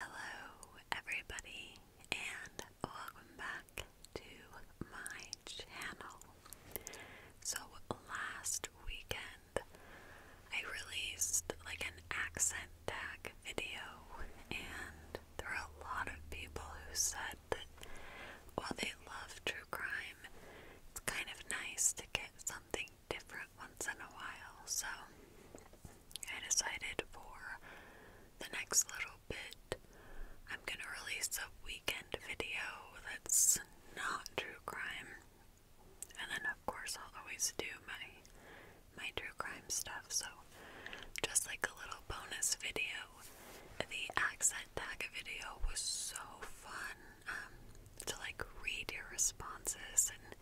Hello, everybody, and welcome back to my channel. So, last weekend I released like an accent tag video, and there were a lot of people who said that while they love true crime, it's kind of nice to get something different once in a while. So, I decided for the next little bit, I'm going to release a weekend video that's not true crime. And then, of course, I'll always do my my true crime stuff. So, just like a little bonus video, the accent tag video was so fun um, to like read your responses and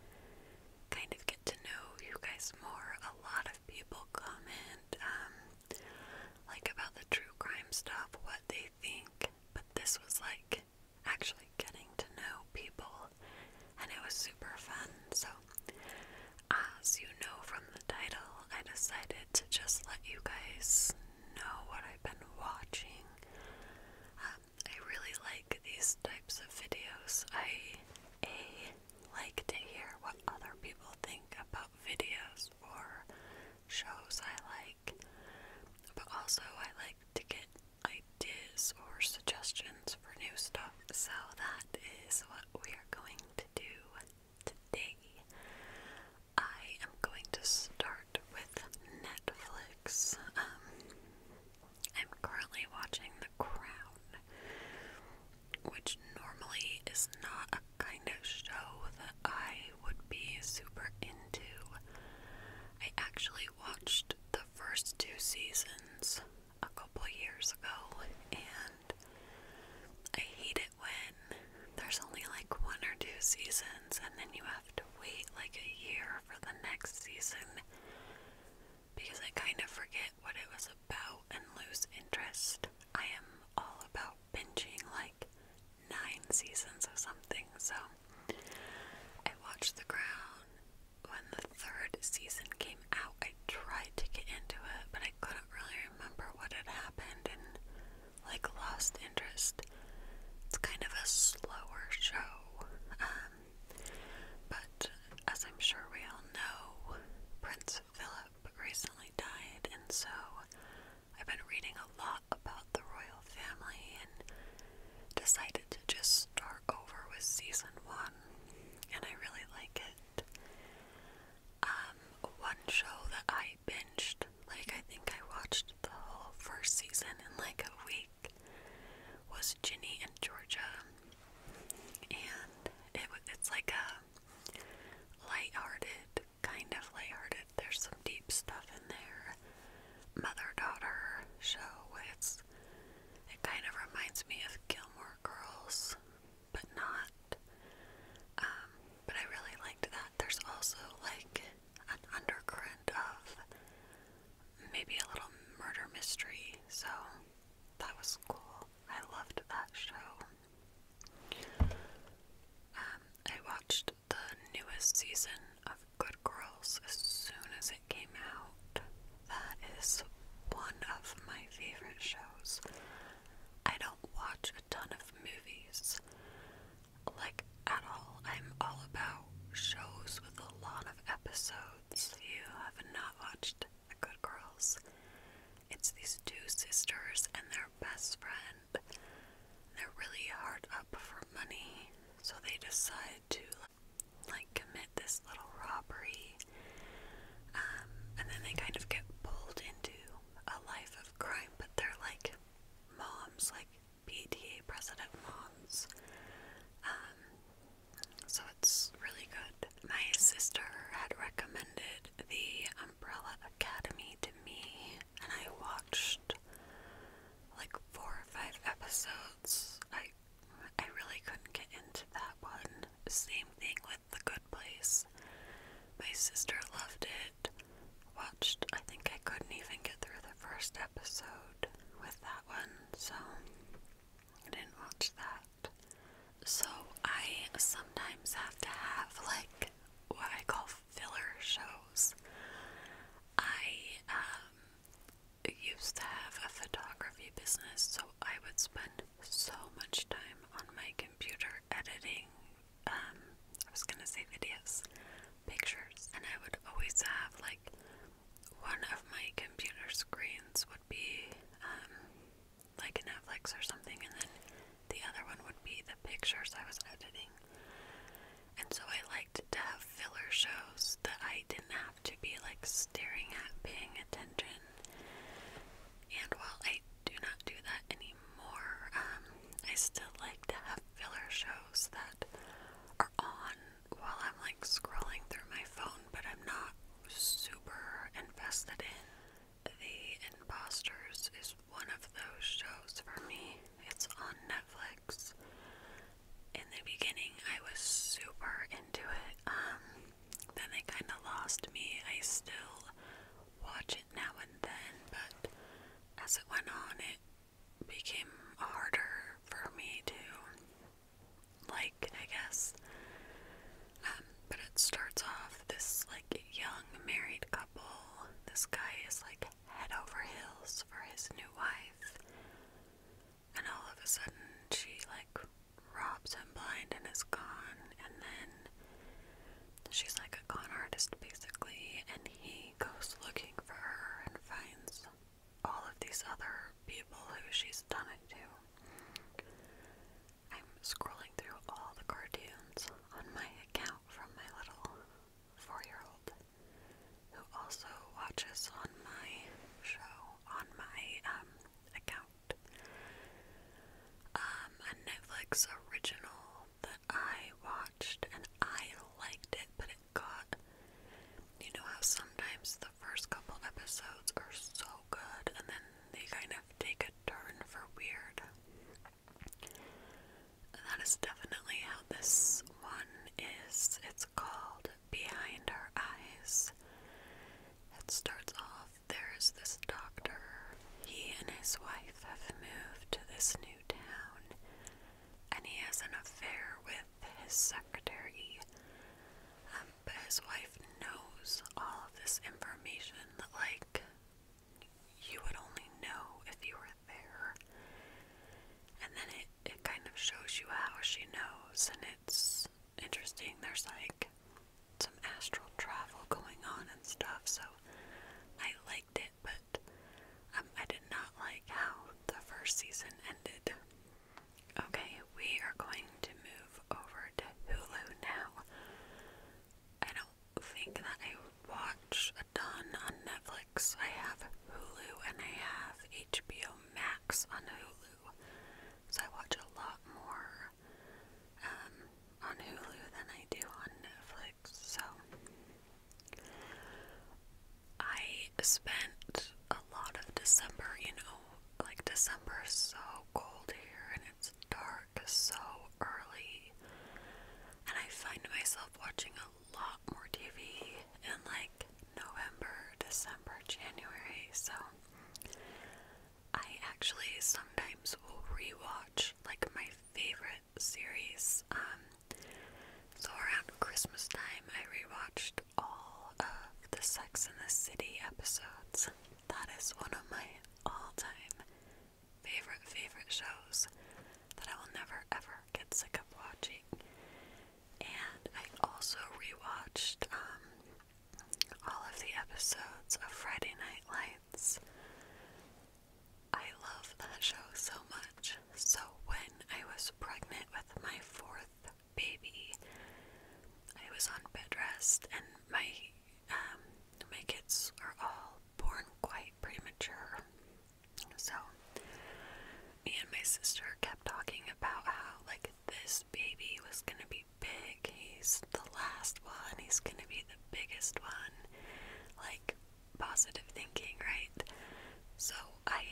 kind of to know you guys more. A lot of people comment, um, like about the true crime stuff, what they think, but this was like actually getting to know people, and it was super fun. So, as you know from the title, I decided to just let you guys know what I've been watching. Uh, I really like these types of videos. I a, like to hear what other people think about videos or shows I like, but also I like to get ideas or suggestions for new stuff. So that is what we are going to do today. I am going to start with Netflix. Um, I'm currently watching The Crown, which normally is not a kind of show that I would be super into. I actually watched the first two seasons a couple years ago, and I hate it when there's only like one or two seasons, and then you have to wait like a year for the next season because I kind of forget what it was about and lose interest. I am all about binging like nine seasons or something, so I watched The Crown. When the third season came out, I tried to get into it, but I couldn't really remember what had happened and like lost interest. It's kind of a slower show. Um, but as I'm sure we all know, Prince Philip recently died, and so I've been reading a lot about the royal family and decided to just start over with season one, and I really like it. Um, one show that I binged, like, I think I watched the whole first season in like a week was Ginny and Georgia, and it it's like a light-hearted kind of light-hearted. There's some deep stuff in there. Mother daughter show. It's it kind of reminds me of Gilmore Girls, but not. Um, but I really liked that. There's also like an undercurrent of maybe a little murder mystery. So that was cool. I loved that show. Um, I watched the newest season of Good Girls as soon as it came out. That is one of my favorite shows. I don't watch a ton of movies, like at all. I'm all about shows with a lot of episodes episodes you have not watched The Good Girls. It's these two sisters and their best friend. They're really hard up for money, so they decide to like commit this little robbery. Um, and then they kind of get pulled into a life of crime, but they're like moms, like PTA President Mons. Um, so it's really good. My sister had recommended the Umbrella Academy to me, and I watched like four or five episodes. I I really couldn't get into that one. Same thing with The Good Place. My sister loved it. Watched, I think I couldn't even get through the first episode with that one so I didn't watch that. So I sometimes have to have like what I call filler shows. I um, used to have a photography business, so I would spend so much time on my computer editing. Um, I was gonna say videos, pictures, and I would always have like one of my computer screens would be um, like a Netflix or something, and then the other one would be the pictures I was editing. And so I liked to have filler shows that I didn't have to be like staring at, paying attention. And while I do not do that anymore, um, I still like to have filler shows that are on while I'm like scrolling through my phone, but I'm not super invested in. The Imposters is one of those shows for me. It's on Netflix. In the beginning, I was super into it. Um, then they kind of lost me. I still watch it now and then, but as it went on, it became harder for me to like, I guess. Um, but it starts off this like young married couple. This guy is like head over heels for his new wife. And all of a sudden she like robs him blind and is gone. And then she's like a con artist basically. And he goes looking for her and finds all of these other people who she's done it to. I'm scrolling through all the cartoons on my account from my little four year old who also watches on my show, on my um, account. Um, a Netflix original that I watched and I liked it, but got. You know how sometimes the first couple episodes are so good and then they kind of take a turn for weird? That is definitely how this one is. It's called Behind Our Eyes. It starts off there is this doctor. He and his wife have moved to this new town and he has an affair with his secretary. Um, but his wife knows all of this information that, like, you would only know if you were there. And then it, it kind of shows you how she knows, and it's interesting. There's like some astral travel going on and stuff, so I liked it but um, I did not like how the first season ended. Okay, we are going to move over to Hulu now. I don't think that I watch a ton on Netflix. I have Hulu and I have HBO Max on Hulu. So I watch a lot more um, on Hulu than I do on Netflix. So I spent a lot of December, you know, like December is so cold here and it's dark so early. And I find myself watching a lot more TV in like November, December, January. So I actually sometimes will rewatch like my favorite series. Um so around Christmas time, I rewatched all of the Sex and the City episodes. That is one of my all-time favorite favorite shows that I will never ever get sick of watching. And I also rewatched um all of the episodes of Friday Night Lights. I love that show so much. So, when I was pregnant with my fourth baby, I was on bed rest, and my um, my kids are all born quite premature. So, me and my sister kept talking about how like this baby was gonna be big. He's the last one. He's gonna be the biggest one. Like positive thinking, right? So I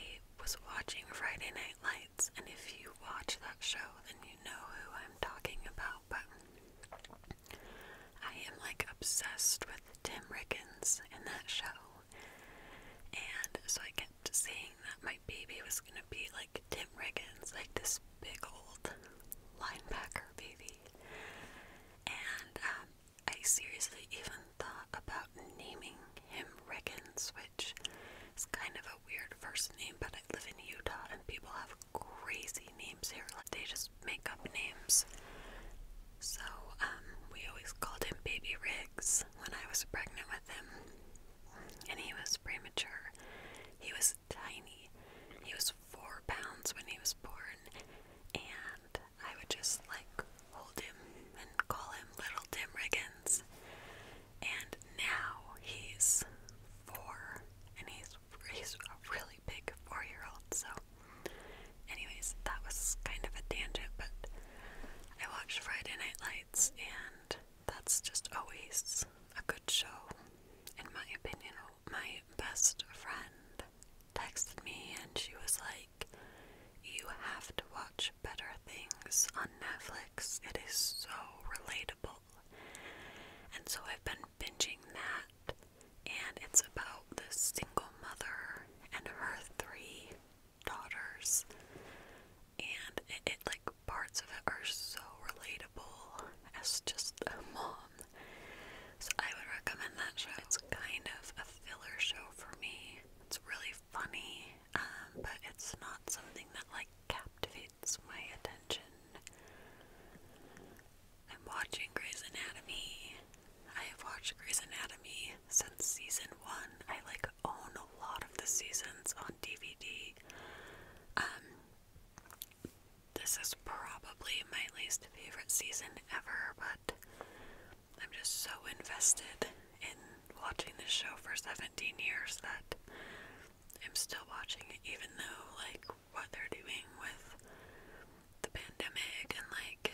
was watching Friday Night Lights, and if you watch that show, then you know who I'm talking about. But I am like obsessed with Tim Riggins in that show, and so I kept saying that my baby was gonna be like Tim Riggins, like this big old linebacker baby. And um, I seriously even thought about naming him Riggins, which is kind of a weird first name, but I live in Utah and people have crazy names here. they just make up names. So, um, we always called him Baby Riggs when I was pregnant with him. And he was premature. He was tiny. He was four pounds when he was born. And I would just like hold him and call him Little Tim Riggins. And now he's four, and he's he's a really big four-year-old. So, anyways, that was kind of a tangent, but I watched Friday Night Lights, and that's just always a good show, in my opinion my best friend texted me and she was like, You have to watch Better Things on Netflix. It is so relatable. And so I've been binging that, and it's about this single mother and her three daughters. And it, like parts of it are so relatable as just a mom so I would recommend that show. It's kind of a filler show for me. It's really funny, um, but it's not something that like captivates my attention. I'm watching Grey's Anatomy. I have watched Grey's Anatomy since season one. I like own a lot of the seasons on DVD this is probably my least favorite season ever, but I'm just so invested in watching this show for 17 years that I'm still watching it, even though, like, what they're doing with the pandemic and, like,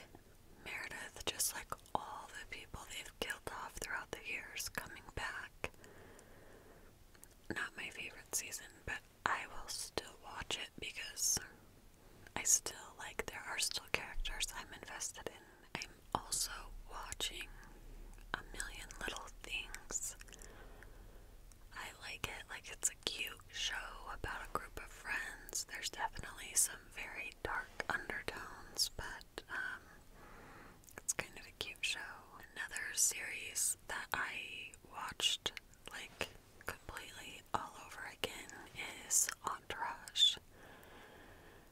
Meredith, just like all the people they've killed off throughout the years coming back. Not my favorite season, but I will still watch it because I still like there are still characters I'm invested in. I'm also watching a million little things. I like it, like it's a cute show about a group of friends. There's definitely some very dark undertones, but um, it's kind of a cute show. Another series that I watched like completely all over again is Entourage.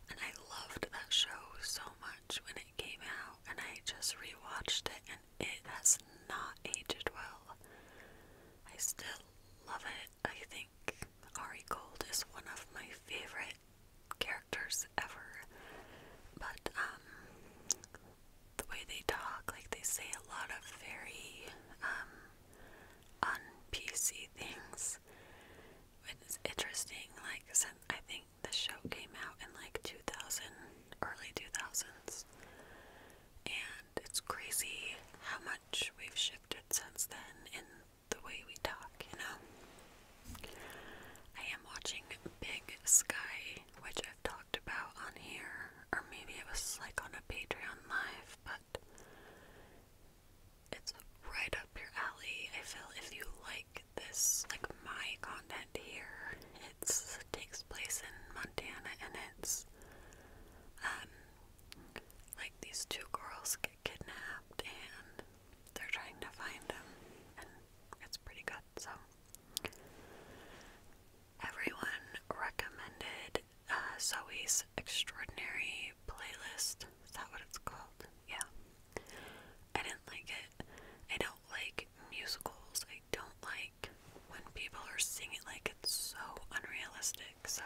And I loved that show so much when it came out, and I just rewatched it, and it has not aged well. I still love it. I think Ari Gold is one of my favorite characters ever. But, um, the way they talk, like they say a lot of very um, unpc un PC things. It's interesting, like since I think the show came out in like 2000, early 2000s, and it's crazy how much we've shifted since then in the way we talk. You know, I am watching Big Sky which I've talked about on here, or maybe it was like on a Patreon live, but it's right up your alley. I feel if you like this, like my content here, it's, takes place in Montana and it's um like these two girls get kidnapped and they're trying to find them and it's pretty good so everyone recommended uh, Zoe's Extraordinary Playlist. Is that what it's called? Yeah. I didn't like it. I don't like musicals. I don't like when people are singing like it's so unrealistic. So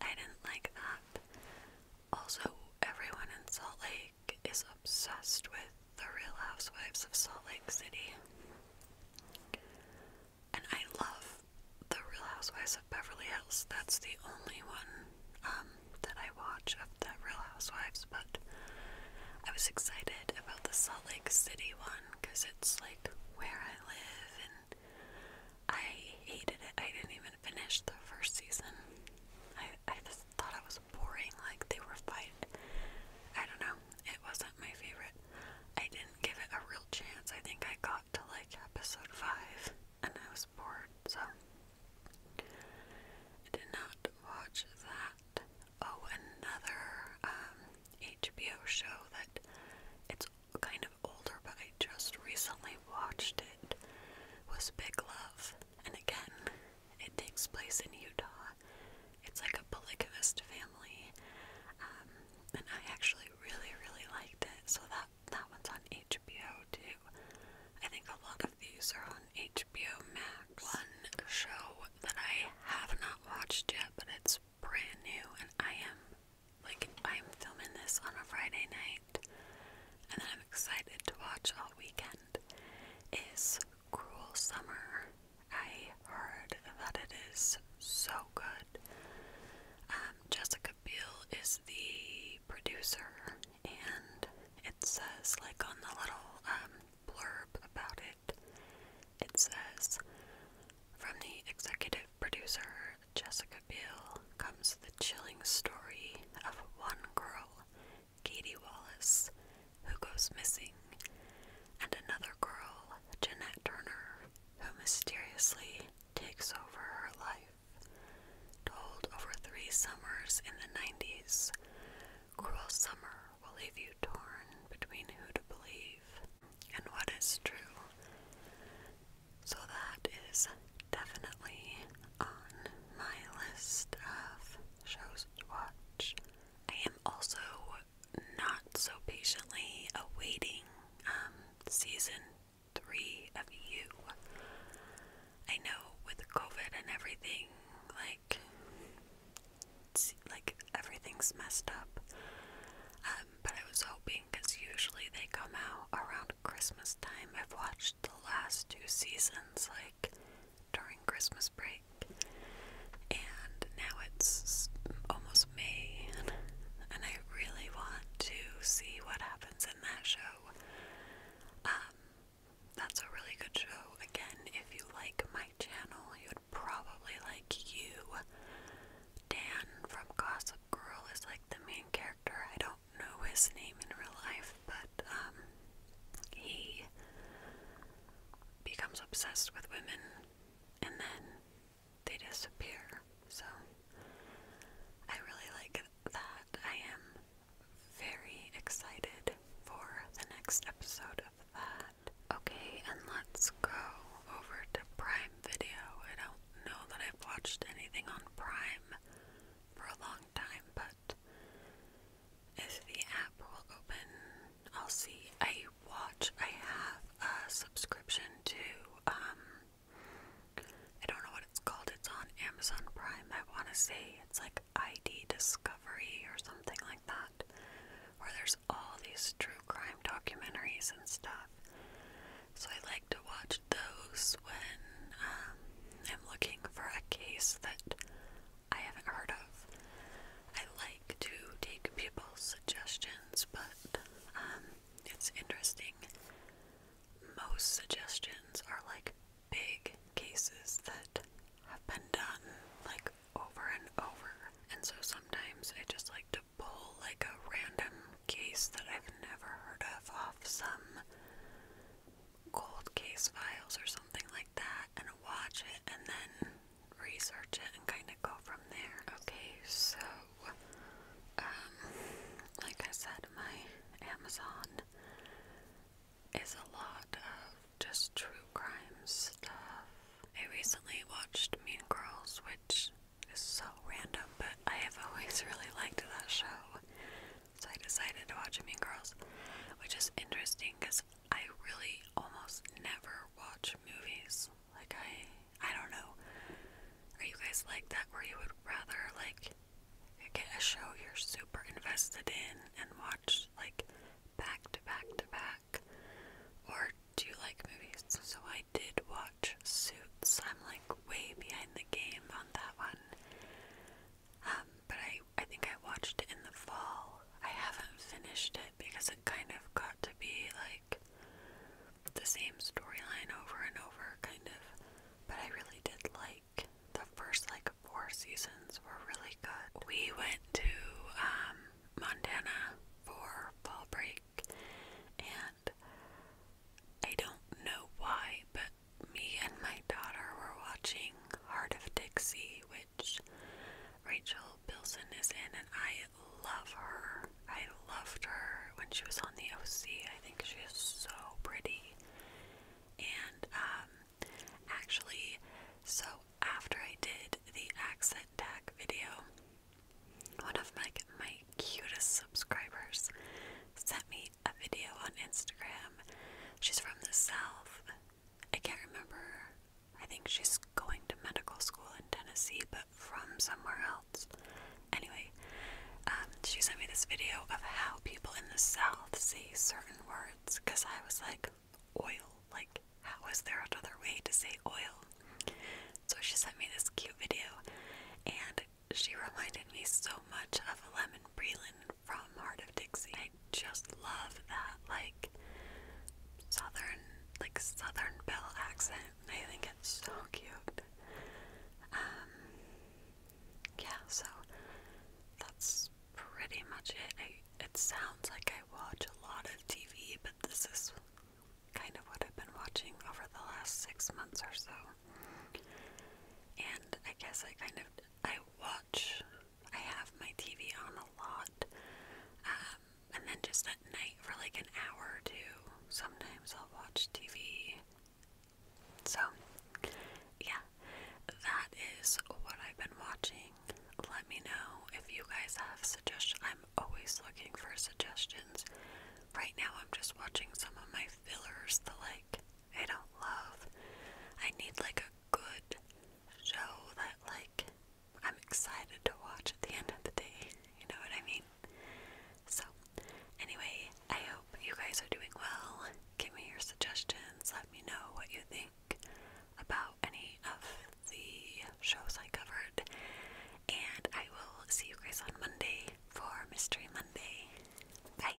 I didn't like that. Also, everyone in Salt Lake is obsessed with the Real Housewives of Salt Lake City. And I love The Real Housewives of Beverly Hills. That's the only one um, that I watch of the Real Housewives, but I was excited about the Salt Lake City one because it's like where I live and I hated it. I didn't even finish the first season. I, I just thought it was boring. Like they were fight. I don't know. It wasn't my favorite. I didn't give it a real chance. I think I got to like episode 5 and I was bored, so I did not watch that. Oh, another um, HBO show that it's kind of older, but I just recently watched it was Big Love. And again, it takes place in Utah it's like a polygamist family, um, and I actually really, really liked it. So that that one's on HBO too. I think a lot of these are on HBO Max. One show that I have not watched yet, but it's brand new, and I am like I'm filming this on a Friday night, and then I'm excited to watch all weekend. Is Cruel Summer I heard that it is so good. Um, Jessica Biel is the producer, and it says, like on the little um, blurb about it, it says, From the executive producer Jessica Biel comes the chilling story of one girl Katie Wallace, who goes missing, and another girl, Jeanette Turner, who mysteriously takes over her life. Told over three summers in the 90s, Cruel Summer will leave you torn between who to believe and what is true. So that is definitely on my list of shows to watch. I am also not so patiently awaiting um, season three of you. I know with COVID and everything, like, like everything's messed up. Um, but I was hoping because usually they come out around Christmas time. I've watched the last two seasons, like during Christmas break. And now it's almost May, and, and I really want to see what happens in that show. Um, that's a really good show. Again, if you like my channel, you would probably like you. Dan from Gossip Girl is like the main character. I don't know his name in real life, but um, he becomes obsessed with women and then they disappear. So I really like that. I am very excited for the next episode of that. Okay, and let's go over to Prime Video. I don't know that I've watched anything on Prime for a long time, but if the app will open, I'll see. I watch, I have a subscription to, um, I don't know what it's called. It's on Amazon Prime, I want to say. It's like ID Discovery or something like that, where there's all these true crime documentaries and stuff. So I like to watch those when um, I'm looking for a case that I haven't heard of. I like to take people's suggestions, but um, it's interesting. Most suggestions are like big cases that have been done like over and over, and so sometimes I just like to pull like a random case that I've never heard of off some cold case files or something like that and watch it and then research it and kind of go from there. Okay, so um like I said my Amazon is a lot of just true crime stuff. I recently watched Mean Girls which is so random but I have always really liked that show. So I decided to watch Mean Girls, which is interesting because I really almost never watch movies. Like I I don't know. Are you guys like that where you would rather like get a show you're super invested in and watch like back to back to back? Or do you like movies? So I did watch Suits. I'm like way behind the game on that one. Um, but I I think I watched it in the fall. I haven't finished it because it kind of got to be like the same storyline over and over kind of. But I really did like the first like four seasons were really good. We went to um, Montana for fall break and I don't know why, but me and my daughter were watching Heart of Dixie, which Rachel Bilson is in, and I love her. I loved her when she was on the OC. I think she is so pretty. And um, actually, so after I did the accent tag video, one of my my cutest subscribers sent me a video on Instagram. She's from the South, I can't remember. I think she's going to medical school in Tennessee, but from somewhere else. Anyway, um, she sent me this video of how people in the South say certain words because I was like, oil. Like, how is there another way to say oil? So she sent me this cute video and she reminded me so much of Lemon Breland from Heart of Dixie. I just love that like southern like southern belle accent. I think it's so cute. Um yeah, so that's pretty much it. I, it sounds like I watch a lot of TV, but this is kind of what I've been watching over the last six months or so. And I guess I kind of I watch, I have my TV on a lot, um, and then just at night for like an hour or two, sometimes I'll watch TV. So, yeah, that is what I've been watching. Let me know if you guys have suggestions. I'm always looking for suggestions. Right now, I'm just watching some of my fillers, the like I don't love. I need like a good show that like I'm excited to watch at the end of the day. You know what I mean? So, anyway, I hope you guys are doing well. Give me your suggestions. Let me know what you think about any of the shows I covered. And I will see you guys on Monday for Mystery Monday. Bye.